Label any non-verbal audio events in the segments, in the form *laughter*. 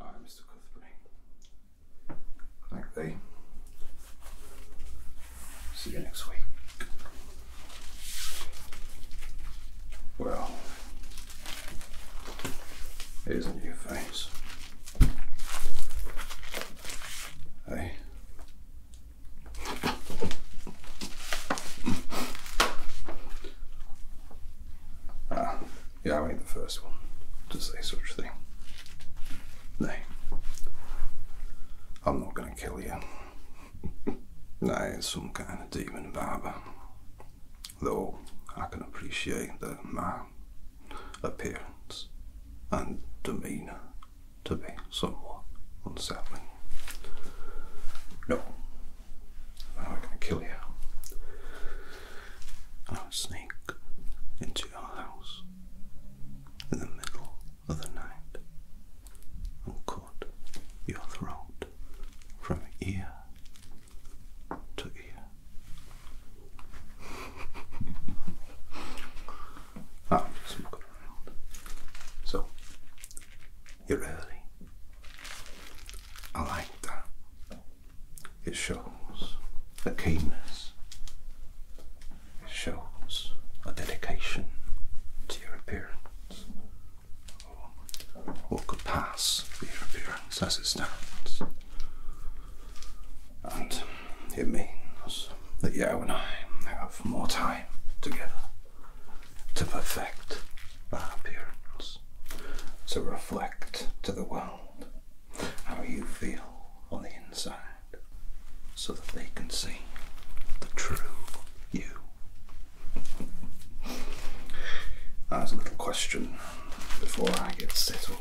Alright, Mr. Cuthbert. Thank thee. See you next week. Well, here's a new face. Hey. Ah. Yeah, I ain't the first one to say such a thing. Nay, I'm not going to kill you. *laughs* Nay, it's some kind of demon barber. Though I can appreciate that my appearance and demeanour to be somewhat unsettling. No, I'm not going to kill you. I'll sneak into your house in the middle of the night and cut your throat from ear to ear. I'll *laughs* around. Ah, so, you're early. I like that. It shows a keenness, it shows a dedication to your appearance, or what could pass for your appearance as it stands. And it means that you and I have more time together to perfect our appearance, to reflect to the world how you feel on the inside so that they can see the true you. There's a little question before I get settled.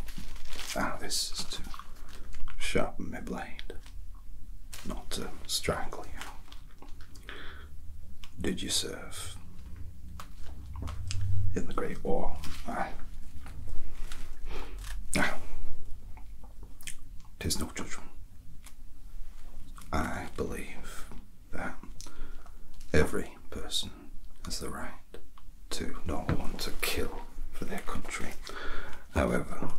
Ah, this is to sharpen my blade, not to strangle you. Did you serve in the Great War, Aye. Now, tis no judgment. I believe that every person has the right to not want to kill for their country. However,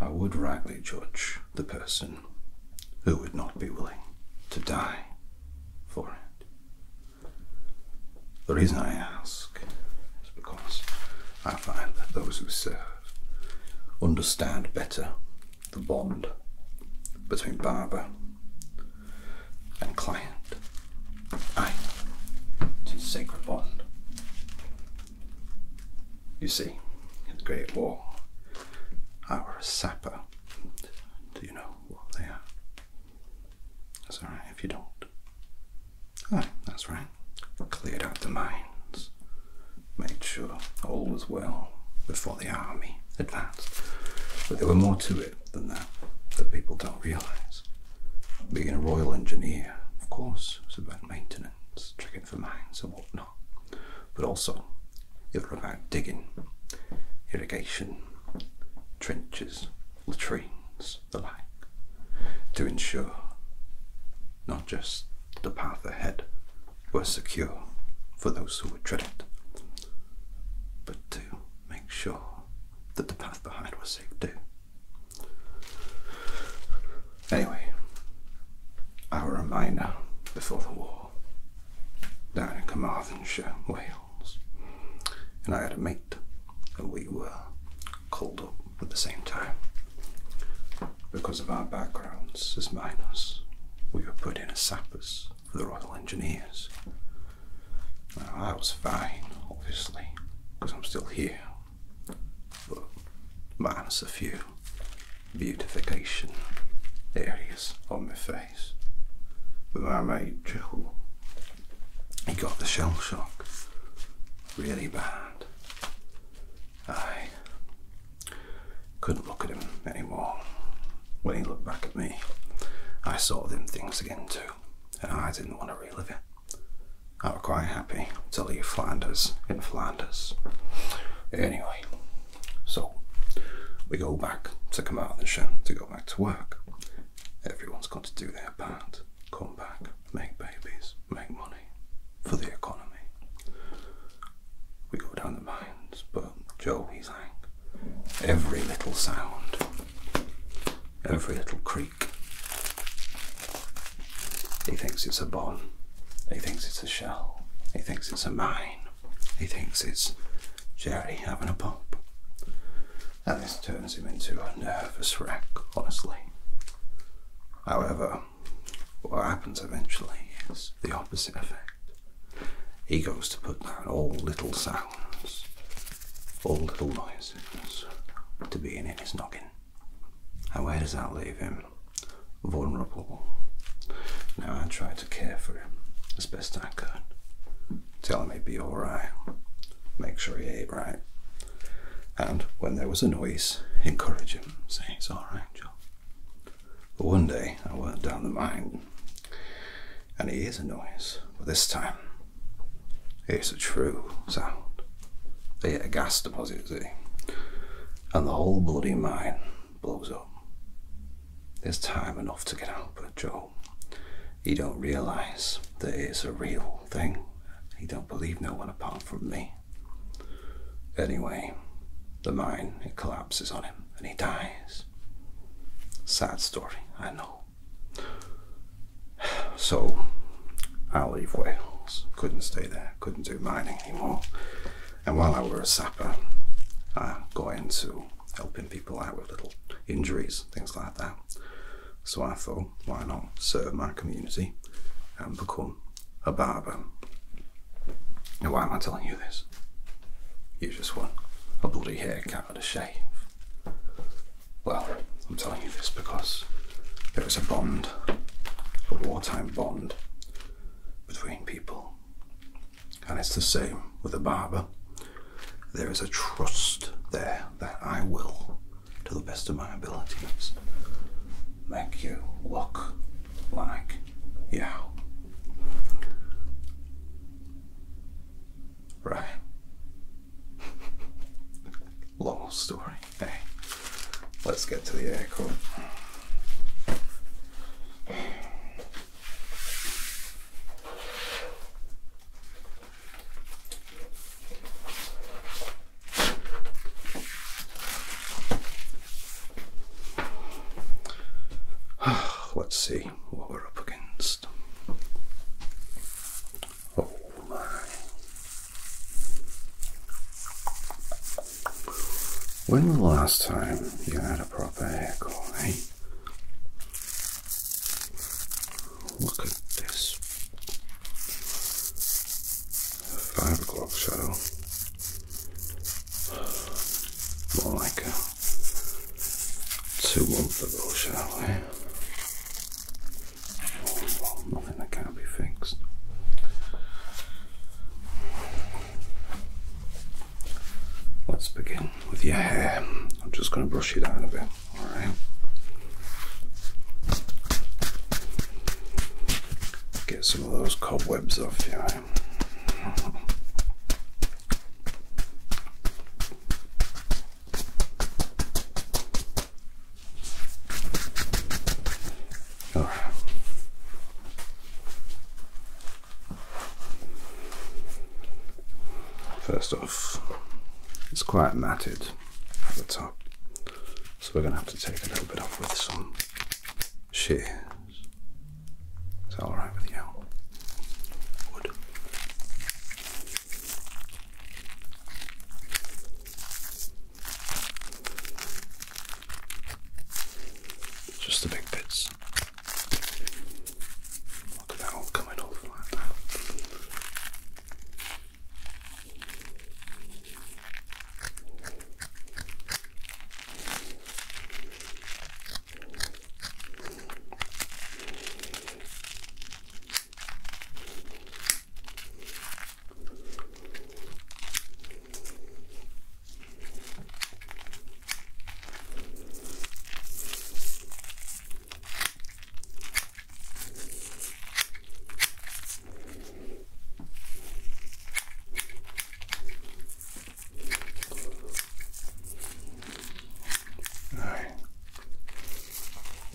I would rightly judge the person who would not be willing to die for it. The reason I ask is because I find that those who serve understand better the bond between barber and client. Aye, a sacred bond. You see, in the Great War, I were a sapper. Do you know what they are? That's alright if you don't. Oh, that's right. Cleared out the mines. Made sure all was well before the army advanced. But there were more to it than that that people don't realise. Being a royal engineer, of course, it's about maintenance, checking for mines and whatnot. But also, it was about digging, irrigation, trenches, latrines, the like, to ensure not just the path ahead were secure for those who would tread it, but to make sure that the path behind was safe too. Anyway, our reminder before the war down in Carmarthenshire way and I had a mate, and we were called up at the same time. Because of our backgrounds as miners, we were put in as sappers for the Royal Engineers. Now, I was fine, obviously, because I'm still here. But minus a few beautification areas on my face face with my mate Joel. He got the shell shock really bad. I couldn't look at him anymore. When he looked back at me, I saw them things again too, and I didn't want to relive it. I was quite happy to leave Flanders in Flanders. Anyway, so we go back to Carmarthenshire to go back to work. Everyone's got to do their part. Come back, make babies, make money for the economy. We go down the mines, but Joe, he's like every little sound, every little creak. He thinks it's a bomb. He thinks it's a shell. He thinks it's a mine. He thinks it's Jerry having a pop this turns him into a nervous wreck, honestly. However, what happens eventually is the opposite effect. He goes to put down all little sounds, all little noises to being in his noggin. And where does that leave him? Vulnerable. Now, I tried to care for him as best I could tell him he'd be alright, make sure he ate right, and when there was a noise, encourage him, say it's alright, Joe. But one day I went down the mine, and he hears a noise, but this time it's a true sound. They hit a gas deposit, see, and the whole bloody mine blows up. There's time enough to get out, but Joe know. You don't realize that it's a real thing. He don't believe no one apart from me. Anyway, the mine, it collapses on him and he dies. Sad story, I know. *sighs* So, I leave Wales. Couldn't stay there, couldn't do mining anymore. And while I were a sapper, I got into helping people out with little injuries, things like that. So I thought, why not serve my community and become a barber? Now, why am I telling you this? You just want a bloody haircut and a shave. Well, I'm telling you this because there is a bond, a wartime bond, between people. And it's the same with a barber there is a trust there that I will, to the best of my abilities, make you look like you. Right. *laughs* Long story. Hey, let's get to the airport. *sighs* Let's see what we're up against. Oh my. When was the last time you had a proper hair call, eh? look at this five o'clock shadow. More like a two month ago shadow nothing that can't be fixed. Let's begin with your hair. I'm just going to brush you down a bit. All right. Get some of those cobwebs off you. Know? First off, it's quite matted at the top, so we're going to have to take a little bit off with some shears. Is alright with you? Just the big bits. Look at that all coming off like that. No, a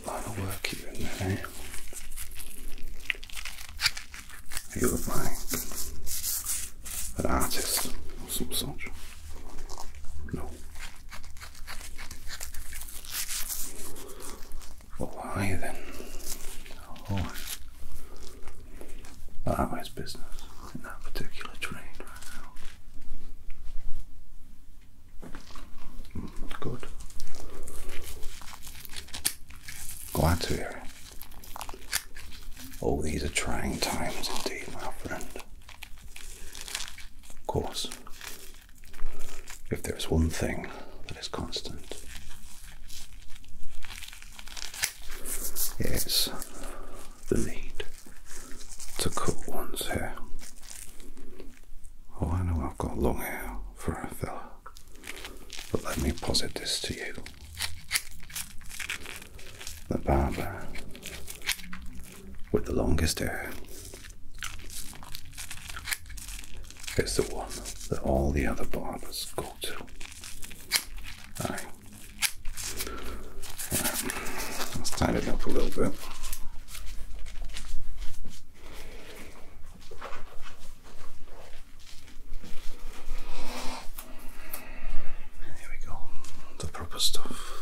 lot of work here in there, eh? You look like an artist or some such. No, why then? Oh, the highway's business in that particular trade right now. Hmm, good. Glad to hear it. Oh, these are trying times indeed, my friend. Of course, if there is one thing that is constant, it's the need to cut one's hair. Oh, I know I've got long hair for a fella, but let me posit this to you. The barber with the longest hair it's the one that all the other barbers go to. Alright. Let's tidy up a little bit. Here we go. The proper stuff.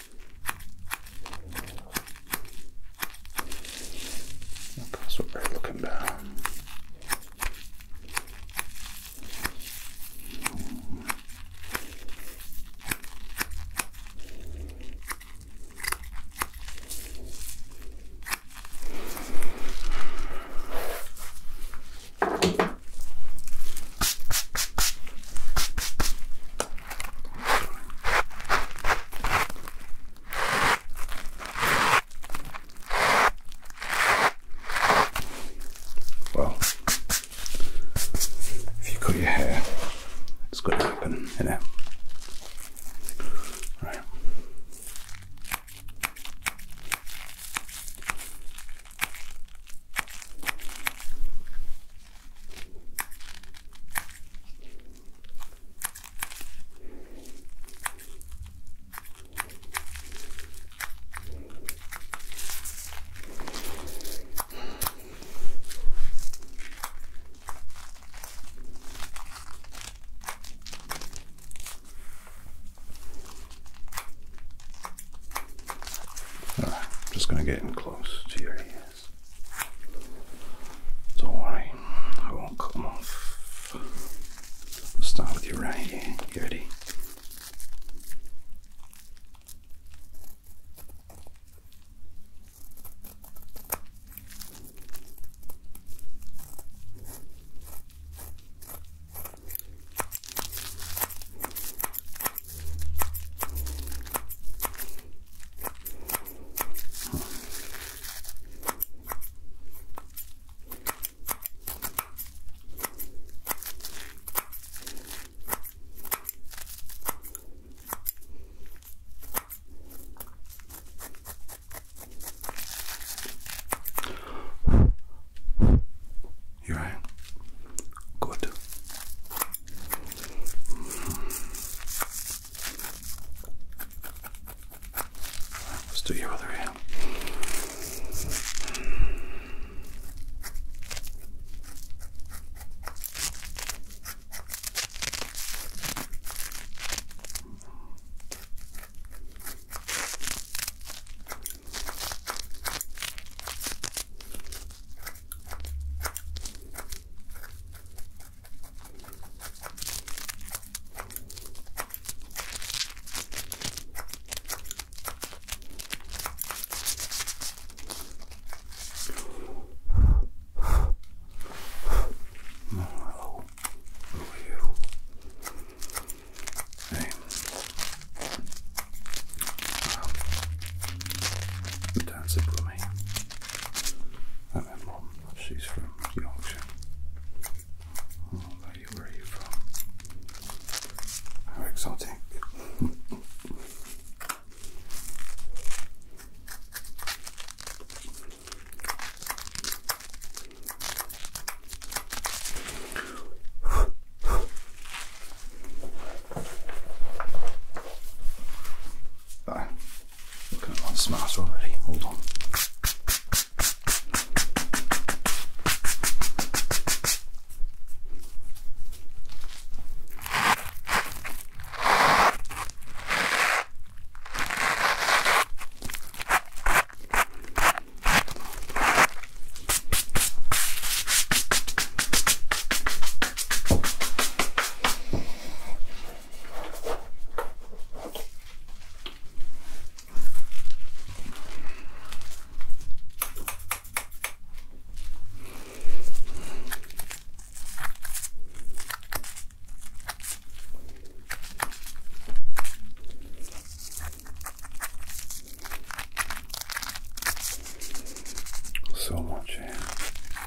That's what they're looking down. Well, if you cut your hair, it's going to happen, you know right, I'm just going to get in close to your ear. Don't worry, I won't come them off. i start with you right here. ready? You're right. Good. Let's do your other hand. Hello, who are you? Hey. Um, don't sit with me. And mom, she's from Yorkshire. Oh, where, are you from? How exotic. *laughs* Looking at one smart already. Hold on. So much here.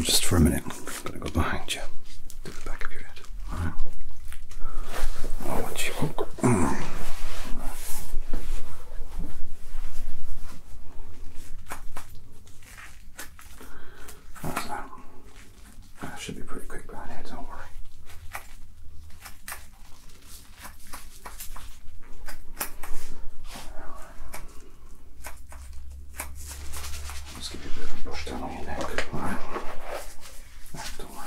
just for a minute, I'm going to go behind you to the back of your head. All right. I want you. That's that should be pretty quick behind here, don't worry. let give you a bit brush down on your neck. All right. don't worry.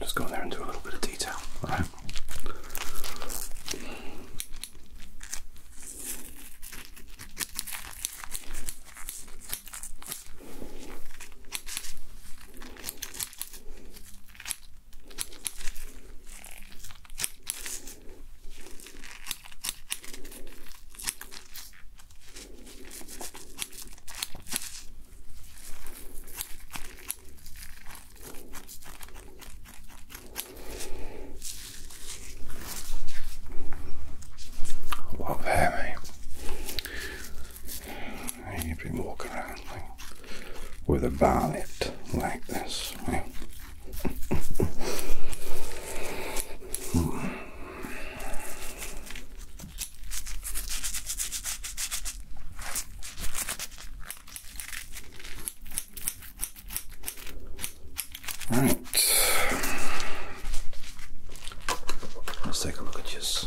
Just go in there and do a little bit of detail, alright? Love hair, mate. You'd be walking around like, with a bonnet like this, Right. Let's take a look at this.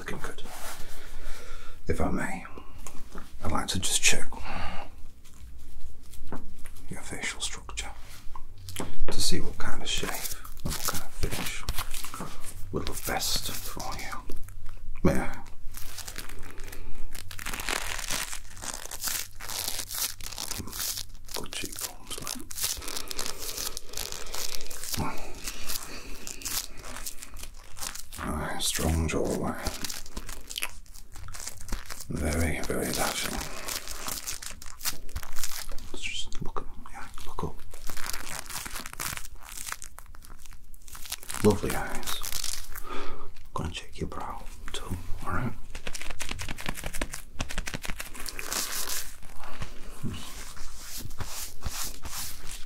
looking good. If I may, I'd like to just check your facial structure to see what kind of shape and what kind of finish would look best for you. May hmm. Good cheekbones, Ah, strong jaw, Very, very dashing. Let's just look up. Yeah, look up. Lovely eyes. Gonna check your brow too, alright?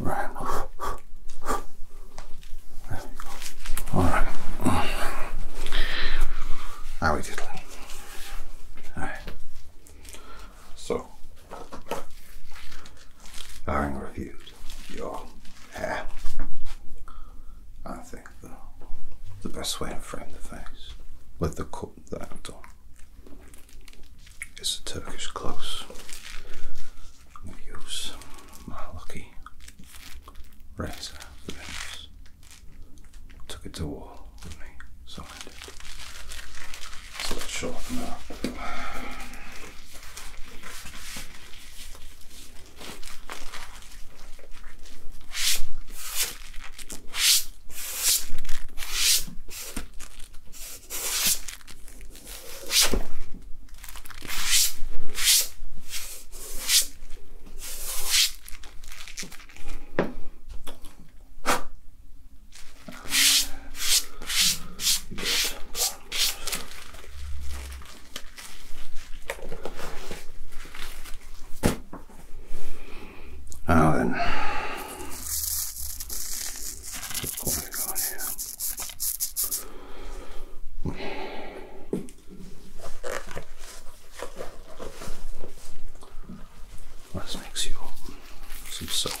Right. All right. How we did. All right. So Having reviewed your hair, I think the, best way to frame the face with the cut that I've done is a Turkish close. I'm going to use my lucky razor Took it to war. Lovely, solid. So let's sharpen up. Now oh, then, what here? Let's mix you some soap.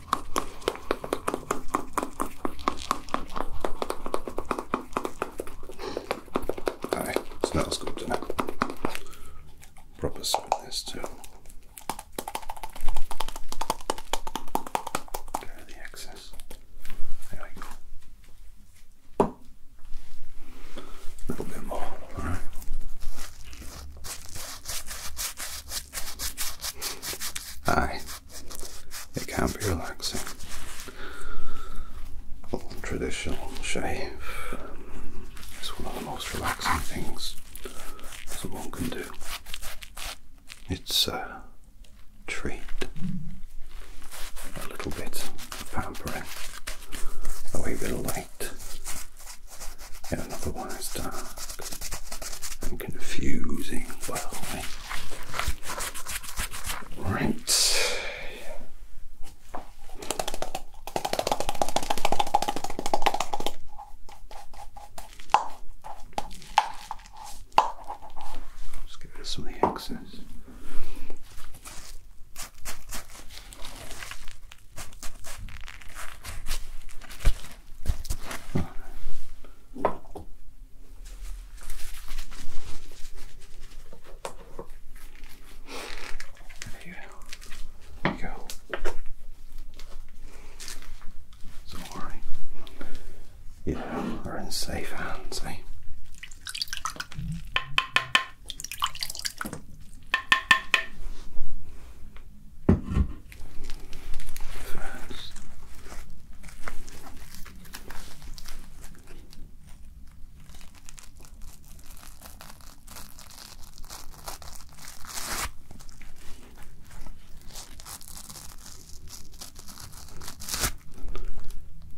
So now let's go to the Proper sweetness too. Get of the excess. There we go. A little bit more, alright. Aye, it can not be relaxing. Old traditional shave It's one of the most relaxing things someone can do. It's a treat, a little bit of pampering, a wee bit of light, Another one is dark and confusing Right. let get rid of some of the excess. There you go. Don't worry. You we're in safe hands, eh?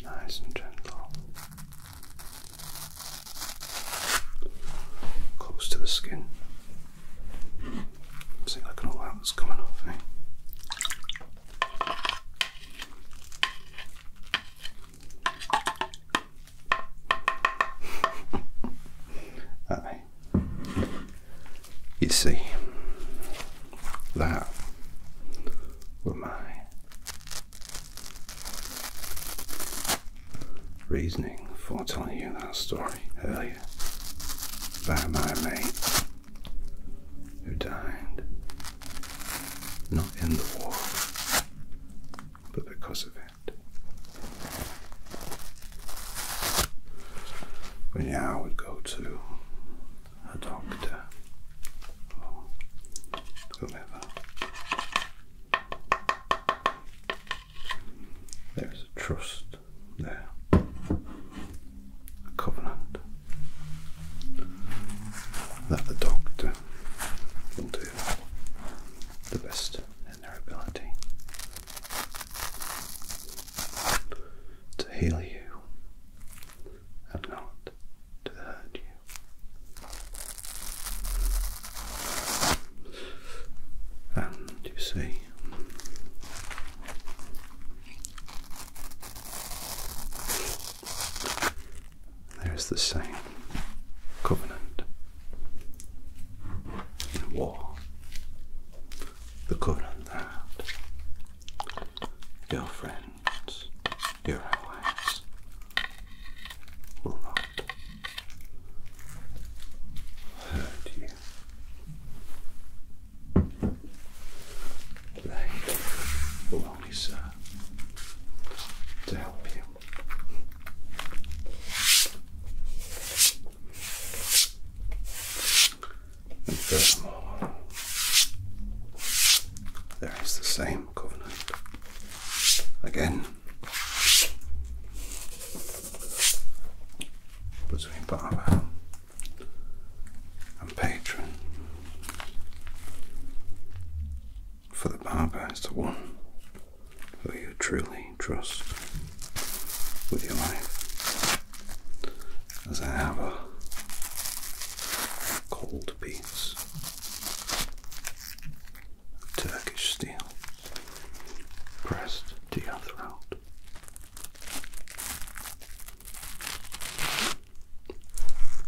Nice and gentle. Close to the skin. See, look at all that's coming off, Aye. *laughs* You see, that were my reasoning for telling you that story earlier by my mate who died not in the war but because of it. But yeah, I would go to a doctor or whomever. There is a trust there. A covenant that the doctor will do the best in their ability to heal you and not to hurt you. And you see, there's the same covenant in war. The covenant that your friends, your allies, will not hurt you here. They will only serve to help you. And furthermore, there is the same covenant again between Barber and patron. For the barber is the one who you truly trust with your life, as I have a cold piece of Turkish steel pressed to your throat.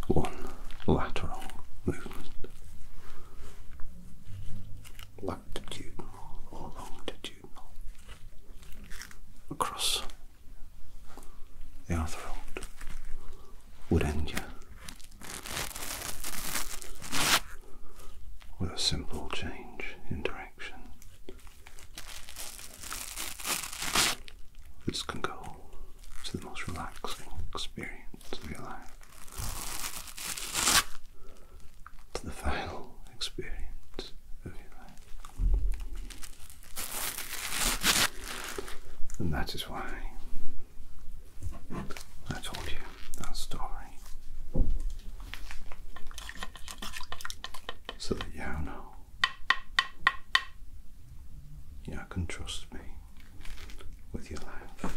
One lateral movement. Latitudinal or longitudinal. Across the other road would end you with a simple change in direction this can go to the most relaxing experience of your life, to the final experience of your life. And that is why I told you that story so that you know you can trust me with your life.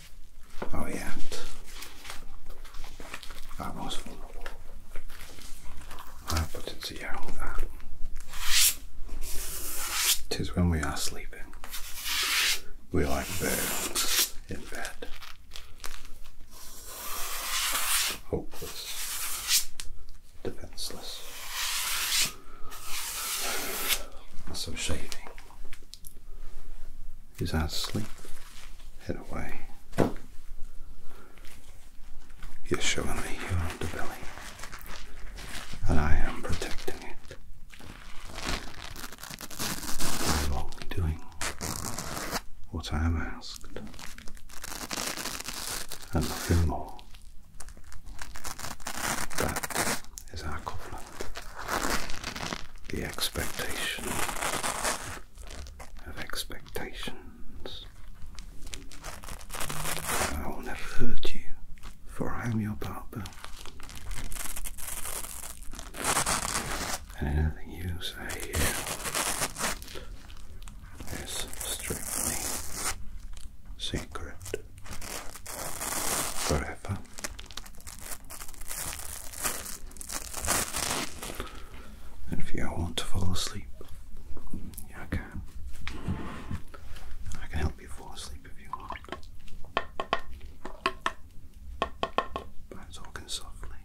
Oh yeah. That was vulnerable. I put to yeah all that. Tis when we are sleeping. We are like birds in bed. Hopeless. Defenseless. Some shaving is our sleep head away. You're showing me your underbelly, and I am protecting it by wrongly doing what I am asked, and nothing more. That is our covenant the expectation of expectations. I will never hurt you, for I am your barber. And anything you say here is strictly secret forever and if you want to fall asleep, yeah, I can. I can help you fall asleep if you want. By talking softly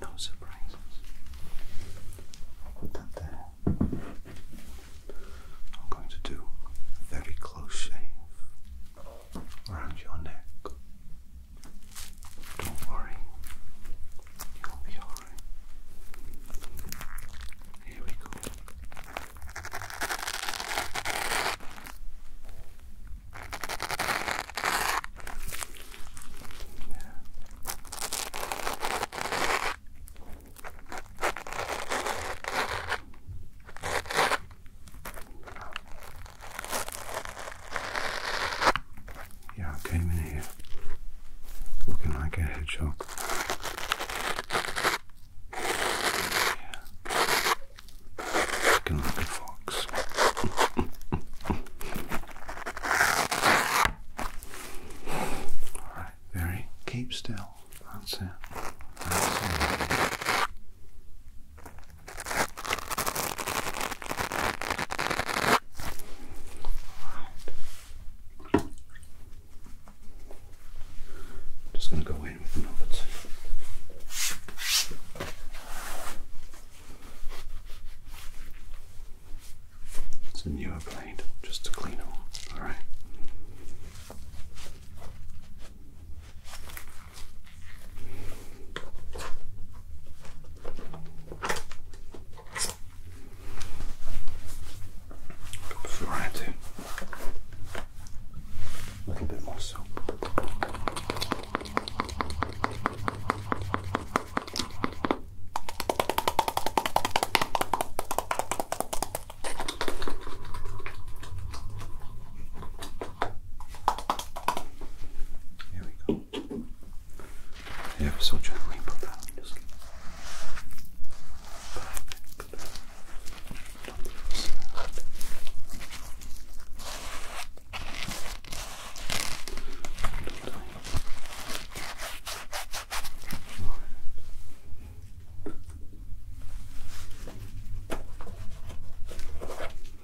no surprises. that I'm going to do a very close shave around your neck. Don't worry, you'll be alright. Here we go. Yeah, I came in here looking like a hedgehog. Yeah. Looking like a fox. Alright, very keep still. That's it. That's it. Just going to go in with another two. It's a newer blade, just to clean them. All right. Before I do, a little bit more soap. Right. Here we go. Ever so gently put that that.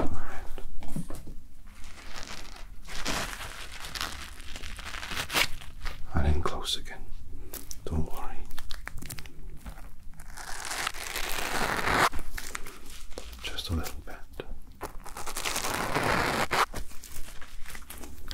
All right. And in close again. Don't worry. Just a little bit.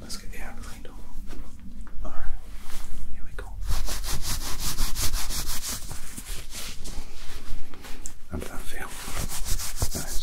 Let's get the air cleaned Alright, here we go. How that feel? Nice.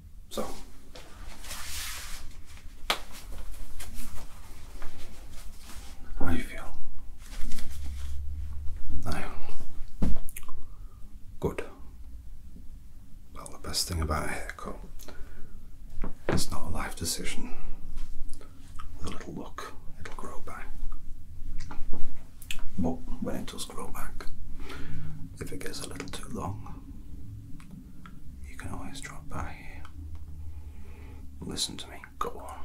So. How do you feel? I good. Well the best thing about a haircut it's not a life decision. With a little look, it'll grow back. But when it does grow back, if it gets a little too long, you can always drop by here. Listen to me, go on.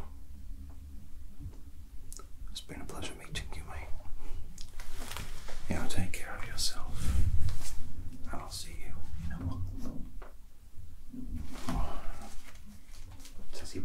It's been a pleasure meeting you, mate. You know, take care of yourself. And I'll see you in a month. Oh. Tizzy